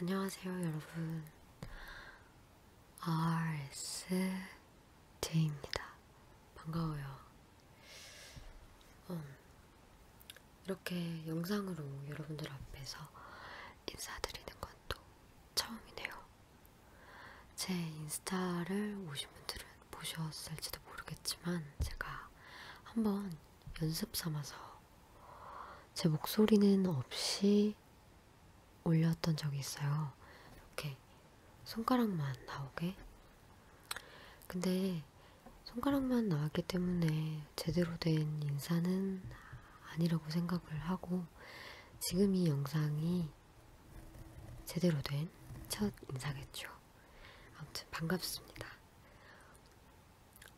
안녕하세요, 여러분. RSJ입니다. 반가워요. 음, 이렇게 영상으로 여러분들 앞에서 인사드리는 건 또 처음이네요. 제 인스타를 오신 분들은 보셨을지도 모르겠지만 제가 한번 연습 삼아서 제 목소리는 없이 올렸던 적이 있어요. 이렇게 손가락만 나오게. 근데 손가락만 나왔기 때문에 제대로 된 인사는 아니라고 생각을 하고 지금 이 영상이 제대로 된 첫 인사겠죠. 아무튼 반갑습니다.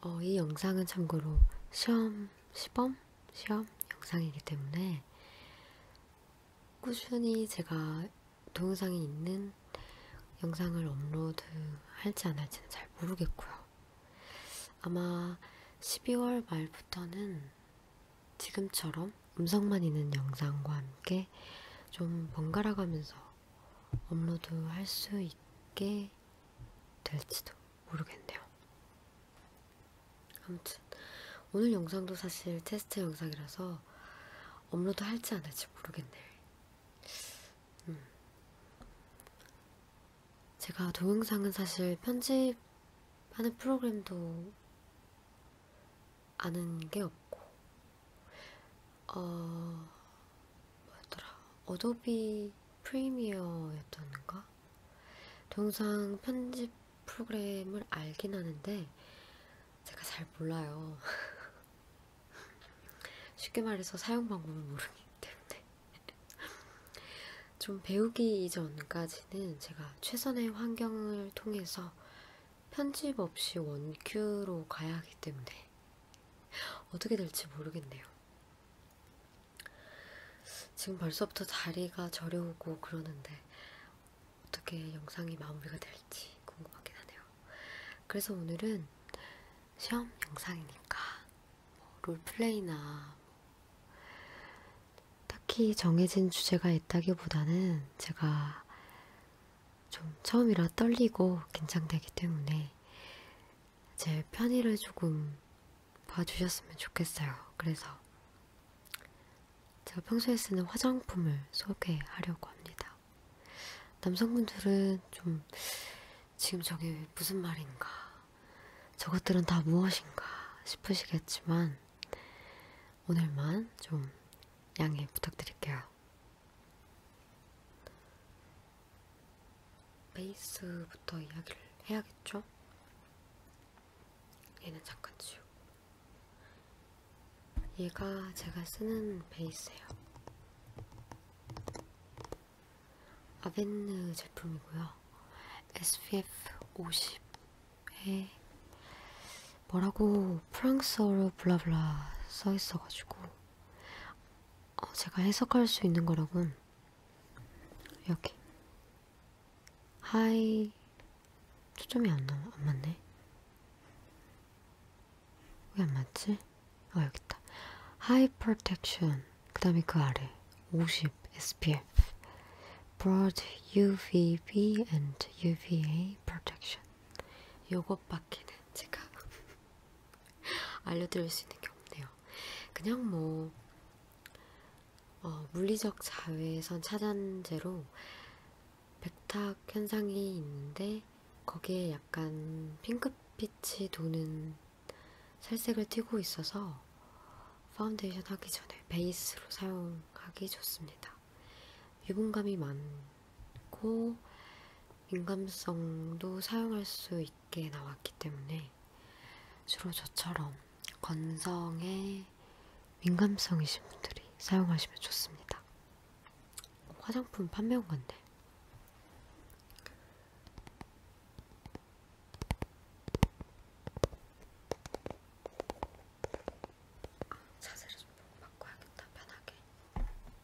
어, 이 영상은 참고로 시험, 시범, 시험 영상이기 때문에 꾸준히 제가 동영상이 있는 영상을 업로드 할지 안 할지는 잘 모르겠고요. 아마 12월 말부터는 지금처럼 음성만 있는 영상과 함께 좀 번갈아가면서 업로드 할 수 있게 될지도 모르겠네요. 아무튼 오늘 영상도 사실 테스트 영상이라서 업로드 할지 안 할지 모르겠네. 음. 제가 동영상은 사실 편집하는 프로그램도 아는 게 없고, 어, 뭐였더라? 어도비 프리미어였던가? 동상 편집 프로그램을 알긴 하는데 제가 잘 몰라요. 쉽게 말해서 사용 방법을 모르기 때문에 좀 배우기 이전까지는 제가 최선의 환경을 통해서 편집 없이 원큐로 가야 하기 때문에 어떻게 될지 모르겠네요. 지금 벌써부터 다리가 저려오고 그러는데 어떻게 영상이 마무리가 될지 궁금하긴 하네요. 그래서 오늘은 시험 영상이니까 뭐 롤플레이나 딱히 정해진 주제가 있다기보다는 제가 좀 처음이라 떨리고 긴장되기 때문에 제 편의를 조금 봐주셨으면 좋겠어요. 그래서 제가 평소에 쓰는 화장품을 소개하려고 합니다. 남성분들은 좀 지금 저게 무슨 말인가, 저것들은 다 무엇인가 싶으시겠지만 오늘만 좀 양해 부탁드릴게요. 베이스부터 이야기를 해야겠죠? 얘는 잠깐 지우고 얘가 제가 쓰는 베이스예요. 아벤느 제품이고요. SPF 50에 뭐라고 프랑스어로 블라블라 써있어가지고 어, 제가 해석할 수 있는 거라곤 여기 하이 초점이 안 나와 안 맞네 왜 안 맞지? 어 여기 있다 하이 프로텍션 그 다음에 그 아래 50 SPF broad UVB and UVA protection 요것밖에는 제가 알려드릴 수 있는 게 없네요. 그냥 뭐 어, 물리적 자외선 차단제로 백탁 현상이 있는데 거기에 약간 핑크빛이 도는 살색을 띄고 있어서 파운데이션 하기 전에 베이스로 사용하기 좋습니다. 유분감이 많고 민감성도 사용할 수있 높게 나왔기 때문에 주로 저처럼 건성에 민감성이신 분들이 사용하시면 좋습니다. 화장품 판매온 건데. 자세를 좀 바꿔야겠다, 편하게.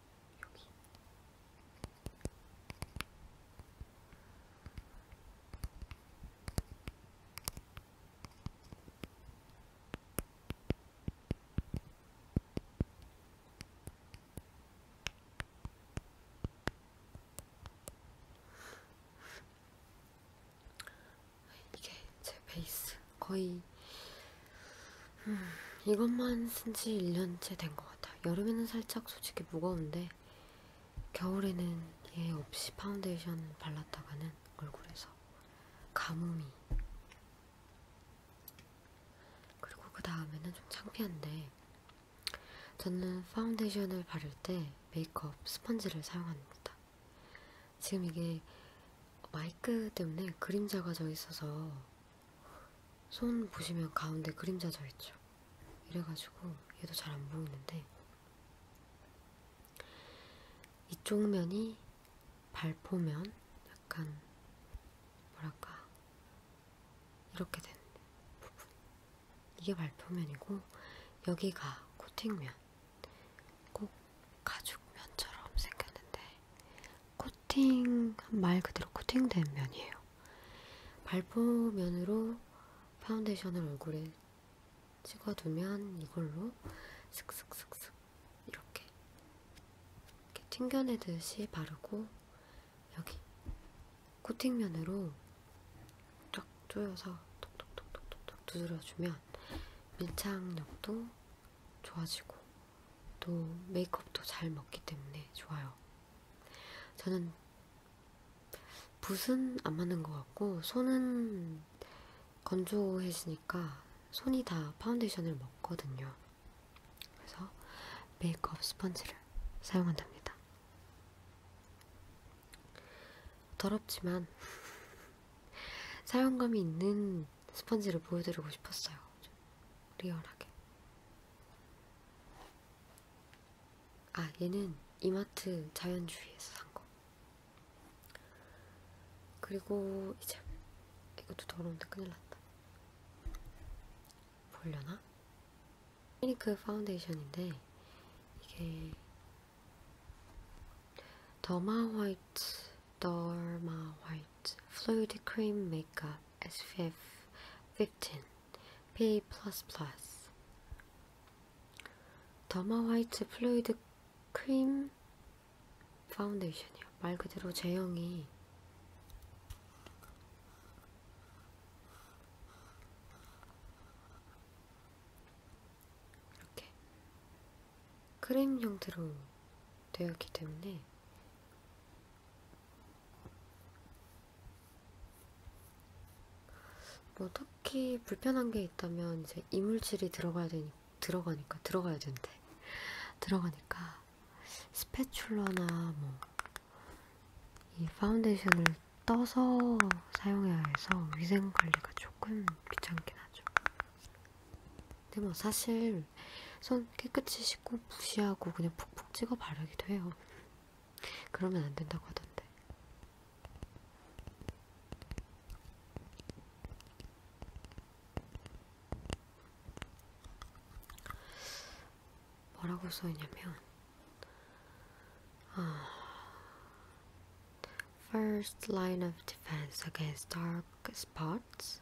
여기. 이게 제 베이스 거의 음, 이것만 쓴 지 1년째 된 것 같아요. 여름에는 살짝 솔직히 무거운데 겨울에는 얘 없이 파운데이션 발랐다가는 얼굴에서 가뭄이 그리고 그 다음에는 좀 창피한데 저는 파운데이션을 바를 때 메이크업 스펀지를 사용합니다. 지금 이게 마이크 때문에 그림자가 져 있어서 손 보시면 가운데 그림자 져 있죠. 이래가지고 얘도 잘 안 보이는데 이쪽 면이 발포면 약간 뭐랄까 이렇게 된 부분 이게 발포면이고 여기가 코팅면 꼭 가죽면처럼 생겼는데 코팅, 말 그대로 코팅된 면이에요. 발포면으로 파운데이션을 얼굴에 찍어두면 이걸로 슥슥슥슥 이렇게, 이렇게 튕겨내듯이 바르고 여기 코팅면으로 쫙 조여서 톡톡톡톡톡 두드려주면 밀착력도 좋아지고 또 메이크업도 잘 먹기 때문에 좋아요. 저는 붓은 안 맞는 것 같고 손은 건조해지니까 손이 다 파운데이션을 먹거든요. 그래서 메이크업 스펀지를 사용한답니다. 더럽지만 사용감이 있는 예쁜 스펀지를 보여드리고 싶었어요. 좀 리얼하게. 아, 얘는 이마트 자연주의에서 산 거. 그리고 이제 이것도 더러운데 큰일 났다. 보려나? 피니크 파운데이션인데 이게 더마 화이트 Dorma White Fluid Cream Makeup SPF 15 P++ 더마 화이트 플루이드 크림 파운데이션이요. 말 그대로 제형이 이렇게 크림 형태로 되었기 때문에 뭐 특히 불편한 게 있다면 이제 이물질이 들어가야 되니 들어가니까 들어가야 된대. 들어가니까 스패출러나 뭐 이 파운데이션을 떠서 사용해야 해서 위생 관리가 조금 귀찮긴 하죠. 근데 뭐 사실 손 깨끗이 씻고 무시하고 그냥 푹푹 찍어 바르기도 해요. 그러면 안 된다고 하던데. 뭐라고 써있냐면, 아, first line of defense against dark spots.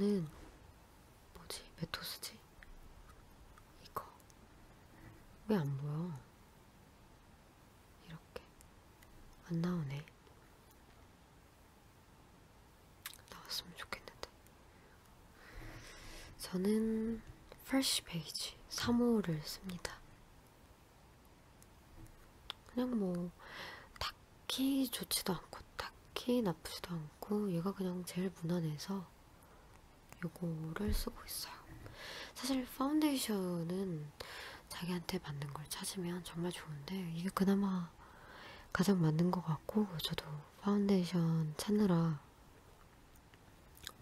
저는 뭐지? 메토스지? 이거 왜 안 보여? 이렇게 안 나오네. 나왔으면 좋겠는데. 저는 프레쉬 베이지 3호를 씁니다. 그냥 뭐 딱히 좋지도 않고 딱히 나쁘지도 않고 얘가 그냥 제일 무난해서 요거를 쓰고 있어요. 사실 파운데이션은 자기한테 맞는 걸 찾으면 정말 좋은데 이게 그나마 가장 맞는 것 같고 저도 파운데이션 찾느라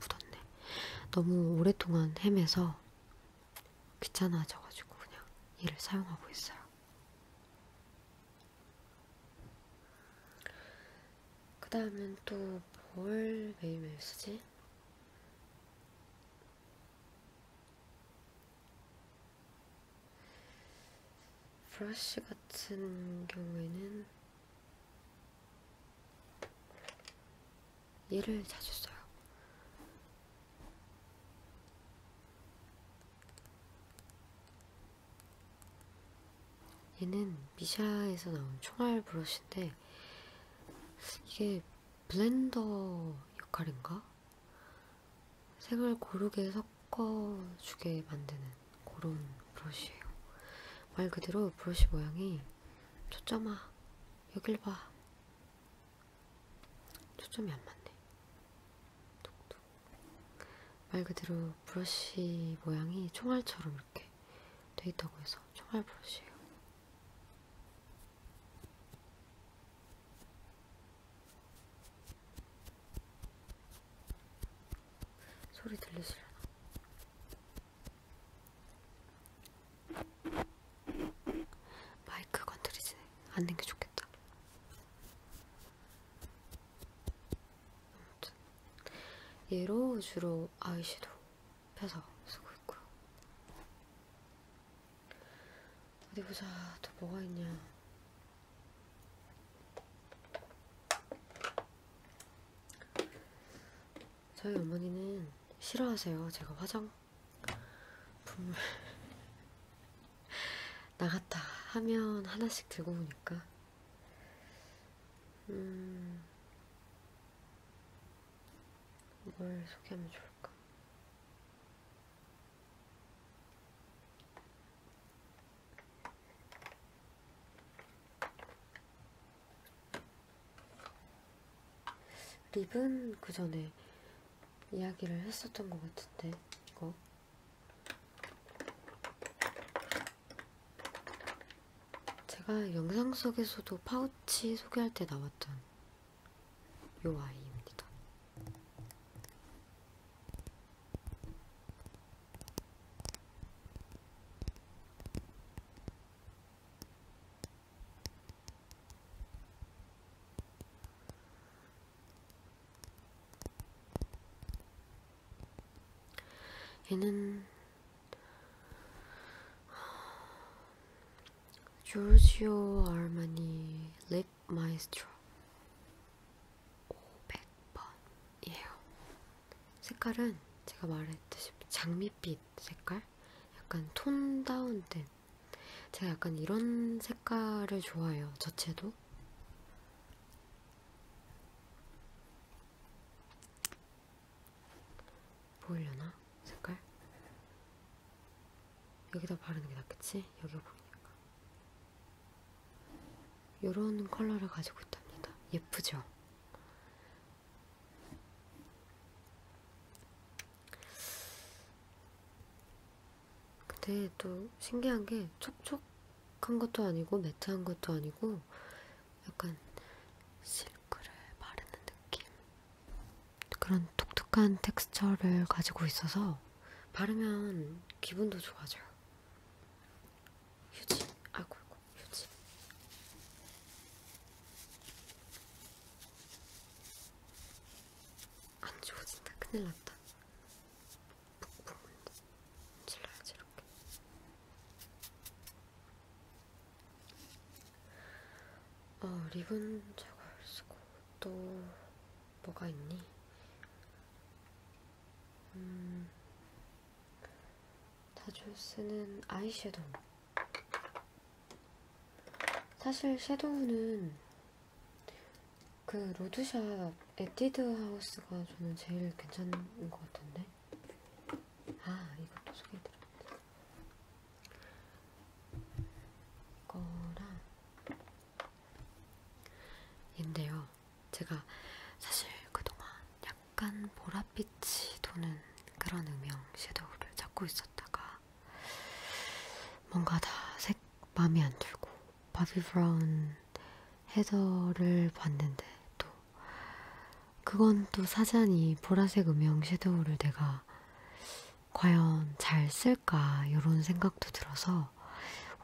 묻었네. 너무 오랫동안 헤매서 귀찮아져가지고 그냥 얘를 사용하고 있어요. 그 다음엔 또뭘 매일매일 쓰지? 브러쉬 같은 경우에는 얘를 자주 써요. 얘는 미샤에서 나온 총알 브러쉬인데 이게 블렌더 역할인가? 색을 고르게 섞어주게 만드는 그런 브러쉬예요. 말 그대로 브러쉬 모양이 초점아 여길 봐 초점이 안 맞네. 톡톡. 말 그대로 브러쉬 모양이 총알처럼 이렇게 돼 있다고 해서 총알 브러쉬예요. 소리 들리시려나? 마이크 건드리지 않는 게 좋겠다. 아무튼 얘로 주로 아이섀도우 펴서 쓰고 있고요. 어디 보자. 또 뭐가 있냐? 저희 어머니는 싫어하세요. 제가 화장 분명 나갔다 하면 하나씩 들고 오니까 음... 뭘 소개하면 좋을까? 립은 그 전에 이야기를 했었던 것 같은데 이거 제가 영상 속에서도 파우치 소개할 때 나왔던 요 아이입니다. 얘는 조르지오 아르마니 립 마이스트로 500번이에요. 색깔은 제가 말했듯이 장밋빛 색깔? 약간 톤 다운된 제가 약간 이런 색깔을 좋아해요. 저체도. 보이려나? 색깔? 여기다 바르는 게 낫겠지? 여기가 보이니까. 요런 컬러를 가지고 있답니다. 예쁘죠? 근데 또 신기한 게 촉촉한 것도 아니고 매트한 것도 아니고 약간 실크를 바르는 느낌? 그런 독특한 텍스처를 가지고 있어서 바르면 기분도 좋아져요. 휴지, 아이고, 아이고 휴지. 안 좋아진다. 큰일 났다. 푹푹 질러야지 이렇게. 어 리본 저걸 쓰고 또 뭐가 있니? 음 자주 쓰는 아이섀도우 사실 섀도우는 그 로드샵 에뛰드 하우스가 저는 제일 괜찮은 것 같은데 아 이것도 소개해드렸네 이거랑 인데요 제가 사실 그동안 약간 보랏빛이 도는 그런 음영 섀도우를 찾고 있었다가 뭔가 다색 마음에 안 들고 바비 브라운 헤더를 봤는데 또 그건 또 사자니 보라색 음영 섀도우를 내가 과연 잘 쓸까 이런 생각도 들어서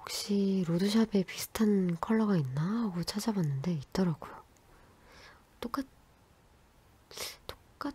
혹시 로드샵에 비슷한 컬러가 있나 하고 찾아봤는데 있더라고요. 똑같 똑같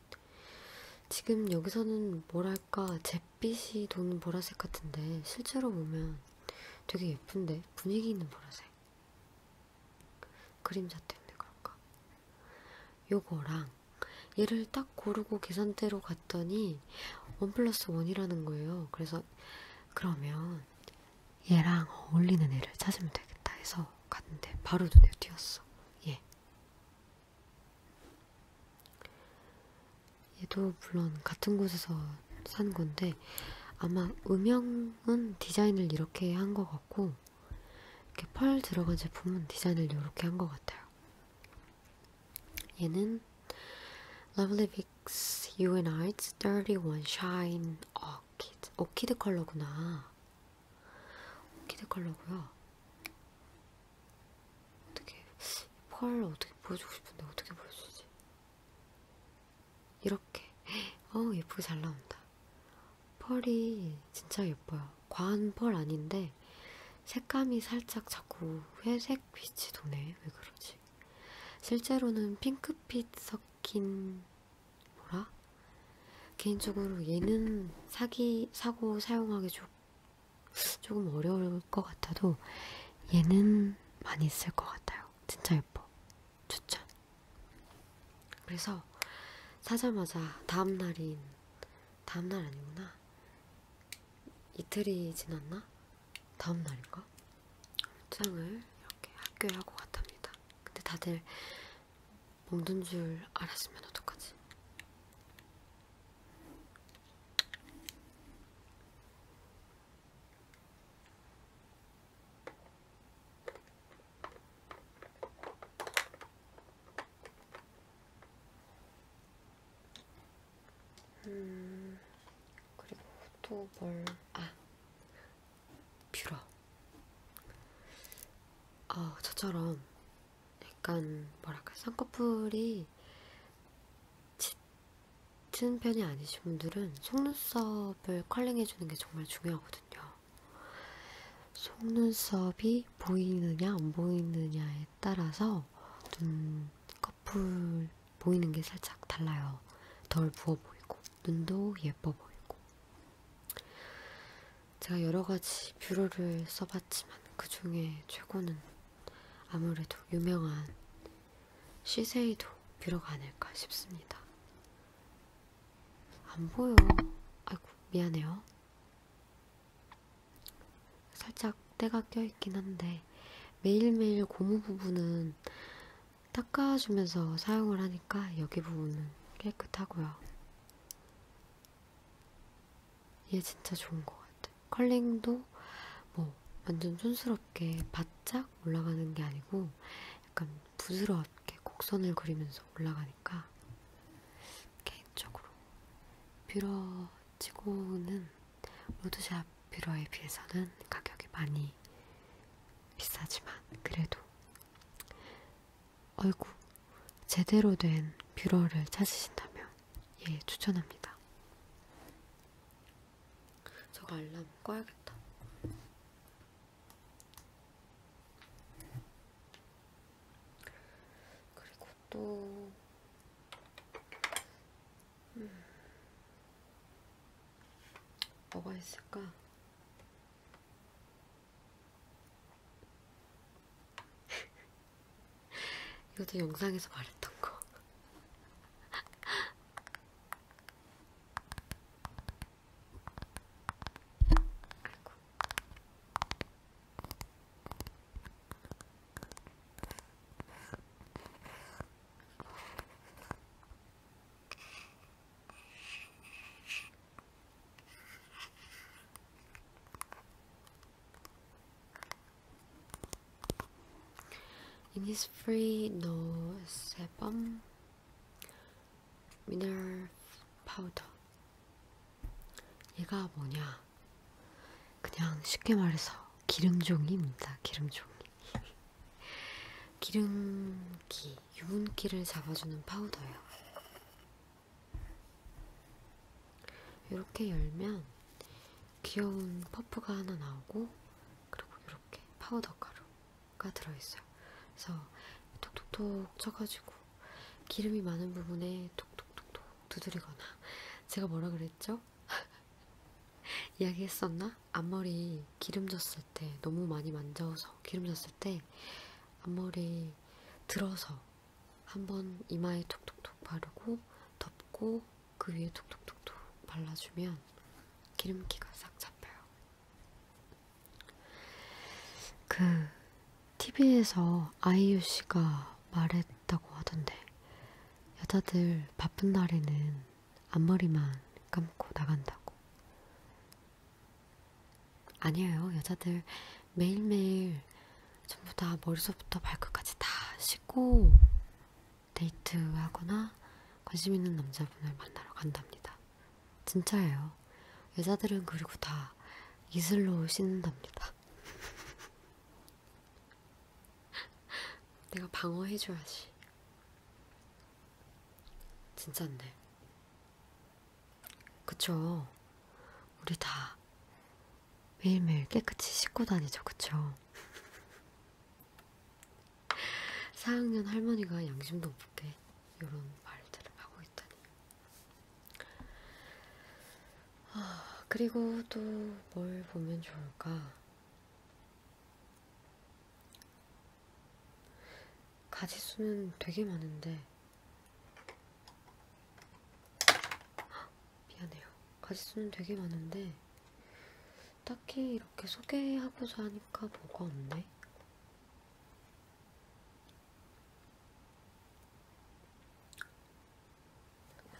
지금 여기서는 뭐랄까 잿빛이 도는 보라색 같은데 실제로 보면 되게 예쁜데 분위기 있는 보라색 그림자 때문에 그럴까 요거랑 얘를 딱 고르고 계산대로 갔더니 1 플러스 1이라는 거예요 그래서 그러면 얘랑 어울리는 애를 찾으면 되겠다 해서 갔는데 바로 눈에 띄었어 얘 예. 얘도 물론 같은 곳에서 산 건데 아마 음영은 디자인을 이렇게 한 것 같고 이렇게 펄 들어간 제품은 디자인을 이렇게 한 것 같아요. 얘는 러블리빅스 유앤아이츠 31 샤인 어키드 어키드 컬러구나. 어키드 컬러고요. 어떻게 펄 어떻게 보여주고 싶은데 어떻게 보여주지? 이렇게 어 예쁘게 잘 나온다. 펄이 진짜 예뻐요. 과한 펄 아닌데 색감이 살짝 자꾸 회색 빛이 도네. 왜 그러지? 실제로는 핑크빛 섞인 뭐라? 개인적으로 얘는 사기 사고 사용하기 좋고 조금 어려울 것 같아도 얘는 많이 있을 것 같아요. 진짜 예뻐. 추천. 그래서 사자마자 다음 날인 다음 날 아니구나. 이틀이 지났나? 다음 날인가? 출장을 이렇게 학교에 하고 갔답니다. 근데 다들 먹는 줄 알았으면 어떡하지? 음, 그리고 또 뭘, 아, 뷰러. 아, 저처럼 약간 뭐랄까 쌍꺼풀이 짙은 편이 아니신 분들은 속눈썹을 컬링해주는 게 정말 중요하거든요. 속눈썹이 보이느냐 안 보이느냐에 따라서 눈꺼풀 보이는 게 살짝 달라요. 덜 부어 보이고 눈도 예뻐 보이고 제가 여러가지 뷰러를 써봤지만 그 중에 최고는 아무래도 유명한 시세이도 뷰러가 아닐까 싶습니다. 안 보여. 아이고, 미안해요. 살짝 때가 껴있긴 한데 매일매일 고무 부분은 닦아주면서 사용을 하니까 여기 부분은 깨끗하고요. 얘 진짜 좋은 것 같아. 컬링도 뭐 완전 촌스럽게 바짝 올라가는 게 아니고 약간 부드럽게 곡선을 그리면서 올라가니까 개인적으로 뷰러치고는 로드샵 뷰러에 비해서는 가격이 많이 비싸지만 그래도 아이고 제대로 된 뷰러를 찾으신다면 예 추천합니다. 저거 알람 꺼야겠다. 그리고 또 음. 뭐가 있을까? 이것도 영상에서 말했던 거. 아이고. In his free no sebum mineral powder. 얘가 뭐냐? 그냥 쉽게 말해서 기름종이입니다. 기름종이. 기름기, 유분기를 잡아주는 파우더예요. 이렇게 열면 귀여운 퍼프가 하나 나오고 그리고 이렇게 파우더 가루가 들어있어요. 그래서 톡톡톡 쳐가지고 기름이 많은 부분에 톡톡톡톡 두드리거나 제가 뭐라 그랬죠? 이야기했었나? 앞머리 기름졌을 때 너무 많이 만져서 기름졌을 때 앞머리 들어서 한번 이마에 톡톡톡 바르고 덮고 그 위에 톡톡톡톡 발라주면 기름기가 싹 잡혀요. 그 TV에서 아이유 씨가 말했다고 하던데 여자들 바쁜 날에는 앞머리만 감고 나간다고. 아니에요. 여자들 매일매일 전부 다 머리서부터 발끝까지 다 씻고 데이트하거나 관심 있는 남자분을 만나러 간답니다. 진짜예요. 여자들은 그리고 다 이슬로 씻는답니다. 내가 방어해줘야지. 진짠데. 그쵸. 우리 다 매일매일 깨끗이 씻고 다니죠, 그쵸? 4학년 할머니가 양심도 없게 이런 말들을 하고 있다니. 아, 그리고 또 뭘 보면 좋을까? 가지수는 되게 많은데 미안해요. 가지수는 되게 많은데 딱히 이렇게 소개하고자 하니까 뭐가 없네.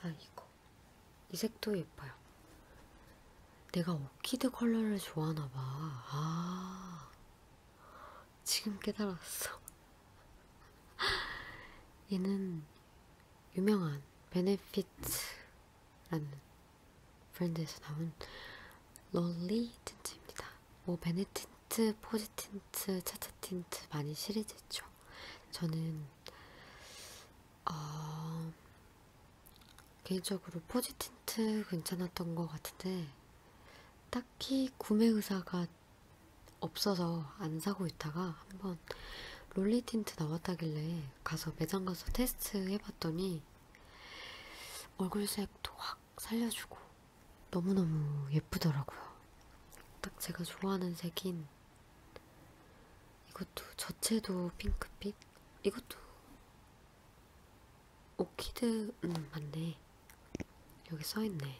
아 이거 이 색도 예뻐요. 내가 오키드 컬러를 좋아하나봐. 아 지금 깨달았어. 얘는 유명한 베네핏라는 브랜드에서 나온 롤리 틴트입니다. 뭐 베네틴트, 포지틴트, 차차틴트 많이 시리즈 있죠. 저는 어, 개인적으로 포지틴트 괜찮았던 것 같은데 딱히 구매 의사가 없어서 안 사고 있다가 한번 롤리 틴트 나왔다길래 가서 매장 가서 테스트 해봤더니 얼굴색도 확 살려주고 너무너무 예쁘더라고요. 딱 제가 좋아하는 색인 이것도 저체도 핑크빛? 이것도 오키드... 음 맞네. 여기 써있네.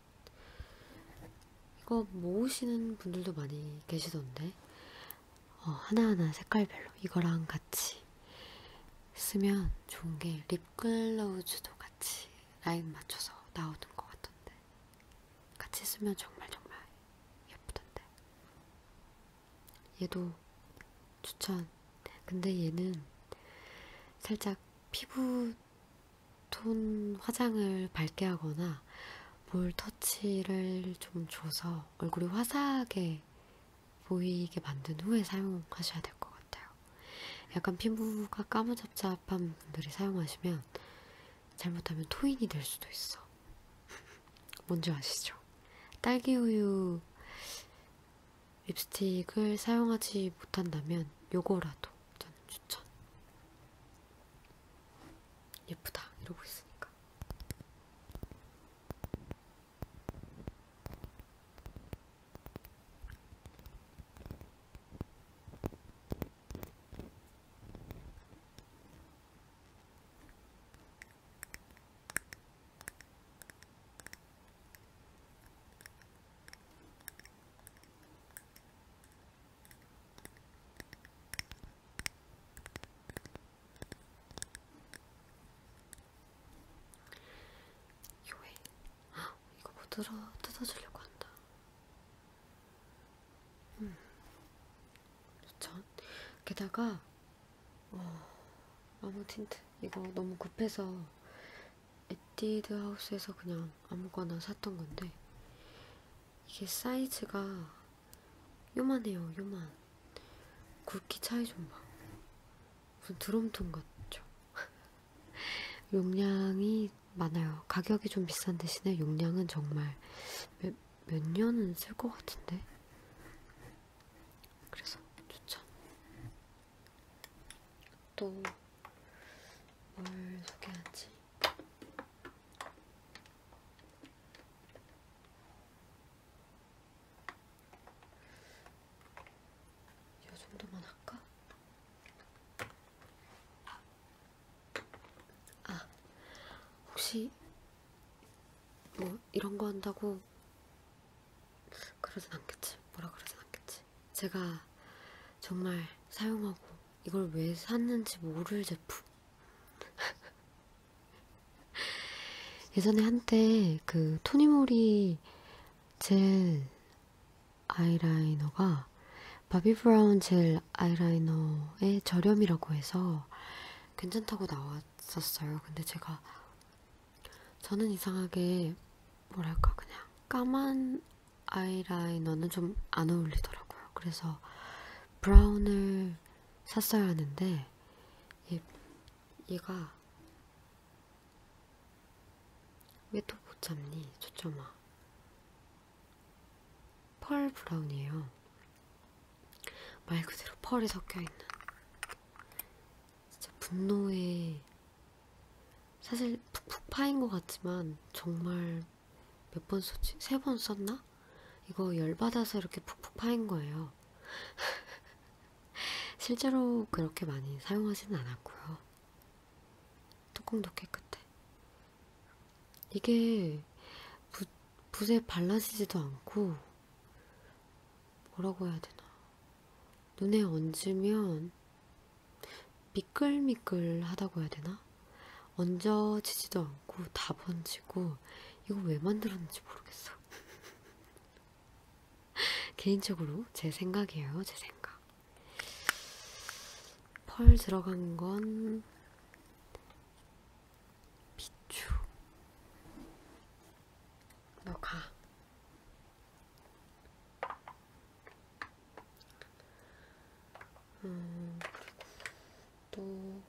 이거 모으시는 분들도 많이 계시던데 어, 하나하나 색깔별로 이거랑 같이 쓰면 좋은 게 립글로우즈도 같이 라인 맞춰서 나오는 것 같던데 같이 쓰면 정말 정말 예쁘던데 얘도 추천 근데 얘는 살짝 피부 톤 화장을 밝게 하거나 볼 터치를 좀 줘서 얼굴이 화사하게 보이게 만든 후에 사용하셔야 될 것 같아요. 약간 피부가 까무잡잡한 분들이 사용하시면 잘못하면 토인이 될 수도 있어. 뭔지 아시죠? 딸기우유 립스틱을 사용하지 못한다면 요거라도 저는 추천. 예쁘다 이러고 있으니까 요에 이거 뭐 들어 뜯어주려고 한다. 음, 그렇죠. 게다가 어, 아무 틴트 이거 너무 급해서 에뛰드 하우스에서 그냥 아무거나 샀던 건데 이게 사이즈가 요만해요, 요만. 굵기 차이 좀 봐. 무슨 드럼통 같죠? 용량이 많아요. 가격이 좀 비싼 대신에 용량은 정말 몇, 몇 년은 쓸 것 같은데? 그래서 추천. 또뭘 소개하지? 이 정도만 할까? 아, 혹시 뭐 이런 거 한다고 그러진 않겠지. 뭐라 그러진 않겠지. 제가 정말 사용하고 이걸 왜 샀는지 모를 제품. 예전에 한때 그 토니모리 젤 아이라이너가 바비 브라운 젤 아이라이너의 저렴이라고 해서 괜찮다고 나왔었어요. 근데 제가 저는 이상하게 뭐랄까 그냥 까만 아이라이너는 좀 안 어울리더라고요. 그래서 브라운을 샀어야 하는데 얘, 얘가 왜 또 못 잡니? 초점아. 펄 브라운이에요. 말 그대로 펄이 섞여있는. 진짜 분노의 사실 푹푹 파인 것 같지만 정말 몇번 썼지? 세 번 썼나? 이거 열받아서 이렇게 푹푹 파인 거예요. 실제로 그렇게 많이 사용하지는 않았고요. 뚜껑도 깨끗해. 이게 붓, 붓에 발라지지도 않고 뭐라고 해야 되나? 눈에 얹으면 미끌미끌하다고 해야 되나? 얹어지지도 않고 다 번지고 이거 왜 만들었는지 모르겠어. 개인적으로 제 생각이에요, 제 생각. 펄 들어간 건 비추. 너 가. 음, 또,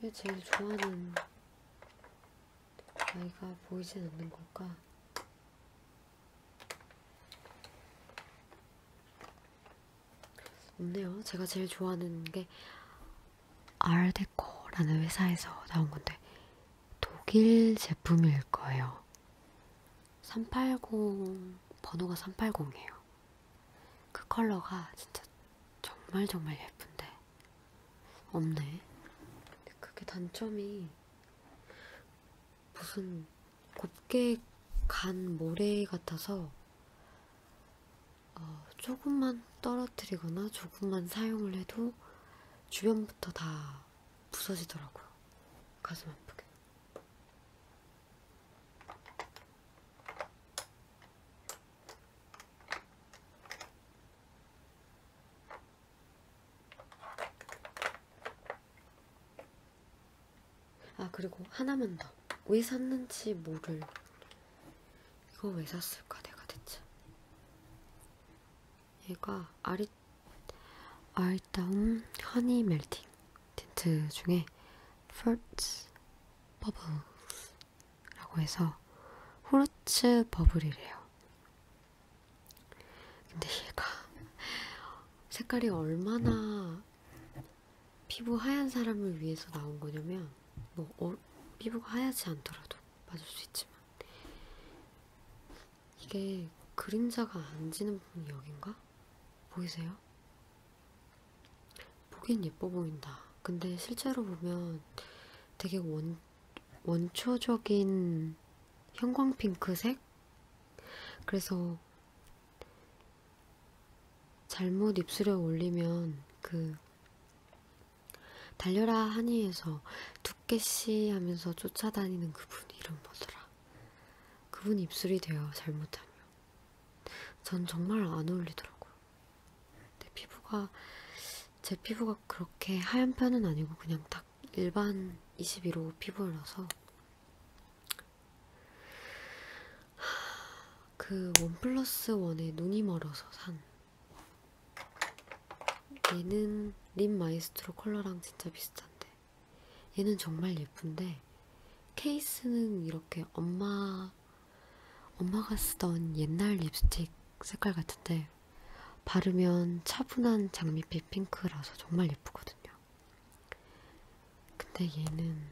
왜 제일 좋아하는 아이가 보이진 않는 걸까? 없네요. 제가 제일 좋아하는 게 알데코라는 회사에서 나온 건데 독일 제품일 거예요. 380 번호가 380이에요. 그 컬러가 진짜 정말 정말 예쁜데 없네. 그게 단점이 무슨 곱게 간 모래 같아서 어, 조금만 떨어뜨리거나 조금만 사용을 해도 주변부터 다 부서지더라고요. 가슴 아프게. 아 그리고 하나만 더. 왜 샀는지 모를. 이거 왜 샀을까 내가 대체. 얘가 아리 얼다운 허니 멜팅 틴트 중에 Fruits Bubbles 라고 해서 후르츠 버블이래요. 근데 얘가 색깔이 얼마나 피부 하얀 사람을 위해서 나온 거냐면 뭐 어, 피부가 하얗지 않더라도 맞을 수 있지만 이게 그림자가 안 지는 부분이 여긴가? 보이세요? 보긴 예뻐 보인다. 근데 실제로 보면 되게 원, 원초적인 형광핑크색? 그래서 잘못 입술에 올리면 그 달려라 하니에서 두께씨 하면서 쫓아다니는 그분 이름 뭐더라? 그분 입술이 돼요, 잘못하면. 전 정말 안 어울리더라고요. 내 피부가, 제 피부가 그렇게 하얀 편은 아니고 그냥 딱 일반 21호 피부라서 그 원플러스 원에 눈이 멀어서 산 얘는 립 마이스트로 컬러랑 진짜 비슷한데 얘는 정말 예쁜데 케이스는 이렇게 엄마 엄마가 쓰던 옛날 립스틱 색깔 같은데 바르면 차분한 장밋빛 핑크라서 정말 예쁘거든요. 근데 얘는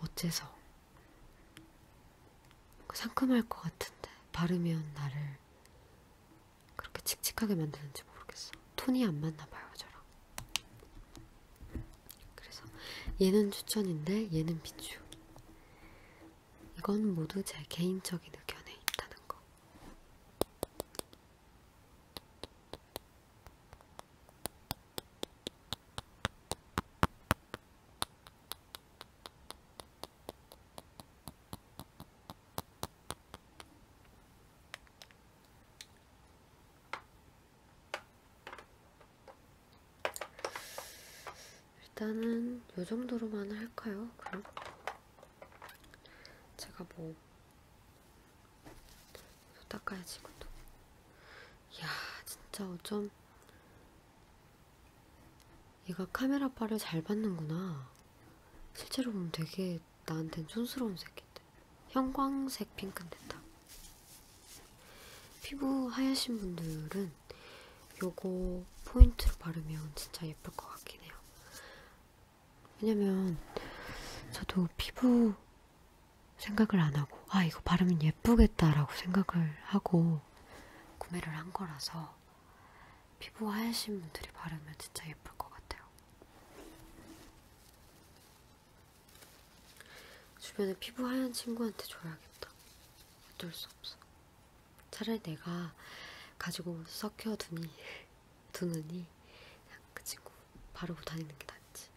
어째서 상큼할 것 같은데 바르면 나를 그렇게 칙칙하게 만드는지 모르겠어. 톤이 안 맞나봐요, 저랑. 그래서 얘는 추천인데 얘는 비추. 이건 모두 제 개인적인 의견에 있다는 거. 일단은 이 정도로만 할까요? 그럼 제가 뭐 닦아야지 이것도 이야 진짜 어쩜 얘가 카메라 빨을 잘 받는구나 실제로 보면 되게 나한텐 촌스러운 색인데 형광색 핑크인데 딱 피부 하얘신 분들은 요거 포인트로 바르면 진짜 예쁠 것 같긴 해요 왜냐면 저도 피부 생각을 안 하고 아 이거 바르면 예쁘겠다라고 생각을 하고 구매를 한 거라서 피부 하얘신 분들이 바르면 진짜 예쁠 것 같아요. 주변에 피부 하얀 친구한테 줘야겠다. 어쩔 수 없어. 차라리 내가 가지고 섞여 두니, 두느니 그냥 그 친구 바르고 다니는 게 낫지.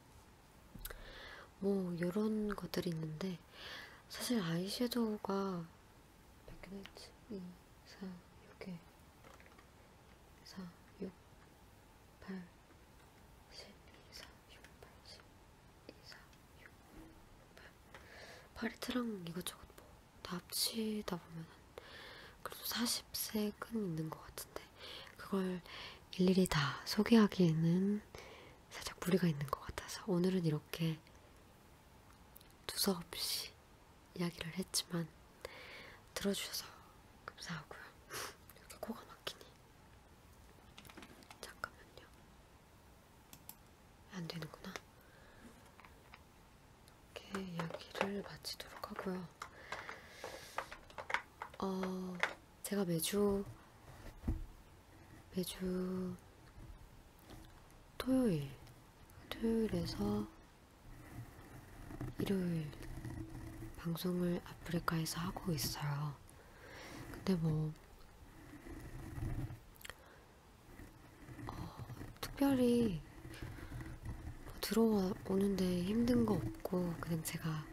뭐 이런 것들이 있는데 사실 아이섀도우가 몇 개나 있지? 2, 3, 6개 4, 6, 8, 10, 2, 4, 6, 8, 10, 2, 4, 6, 8. 팔레트랑 이것저것 뭐다 합치다 보면 그래도 40색은 있는 것 같은데 그걸 일일이 다 소개하기에는 살짝 무리가 있는 것 같아서 오늘은 이렇게 두서없이 이야기를 했지만 들어주셔서 감사하고요. 이렇게 코가 막히니 잠깐만요. 안 되는구나. 이렇게 이야기를 마치도록 하고요. 어, 제가 매주 매주 토요일 토요일에서 일요일 방송을 아프리카에서 하고 있어요. 근데 뭐 어, 특별히 뭐 들어오는데 힘든 거 없고 그냥 제가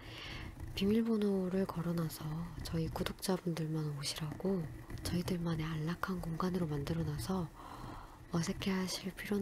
비밀번호를 걸어놔서 저희 구독자분들만 오시라고 저희들만의 안락한 공간으로 만들어놔서 어색해하실 필요는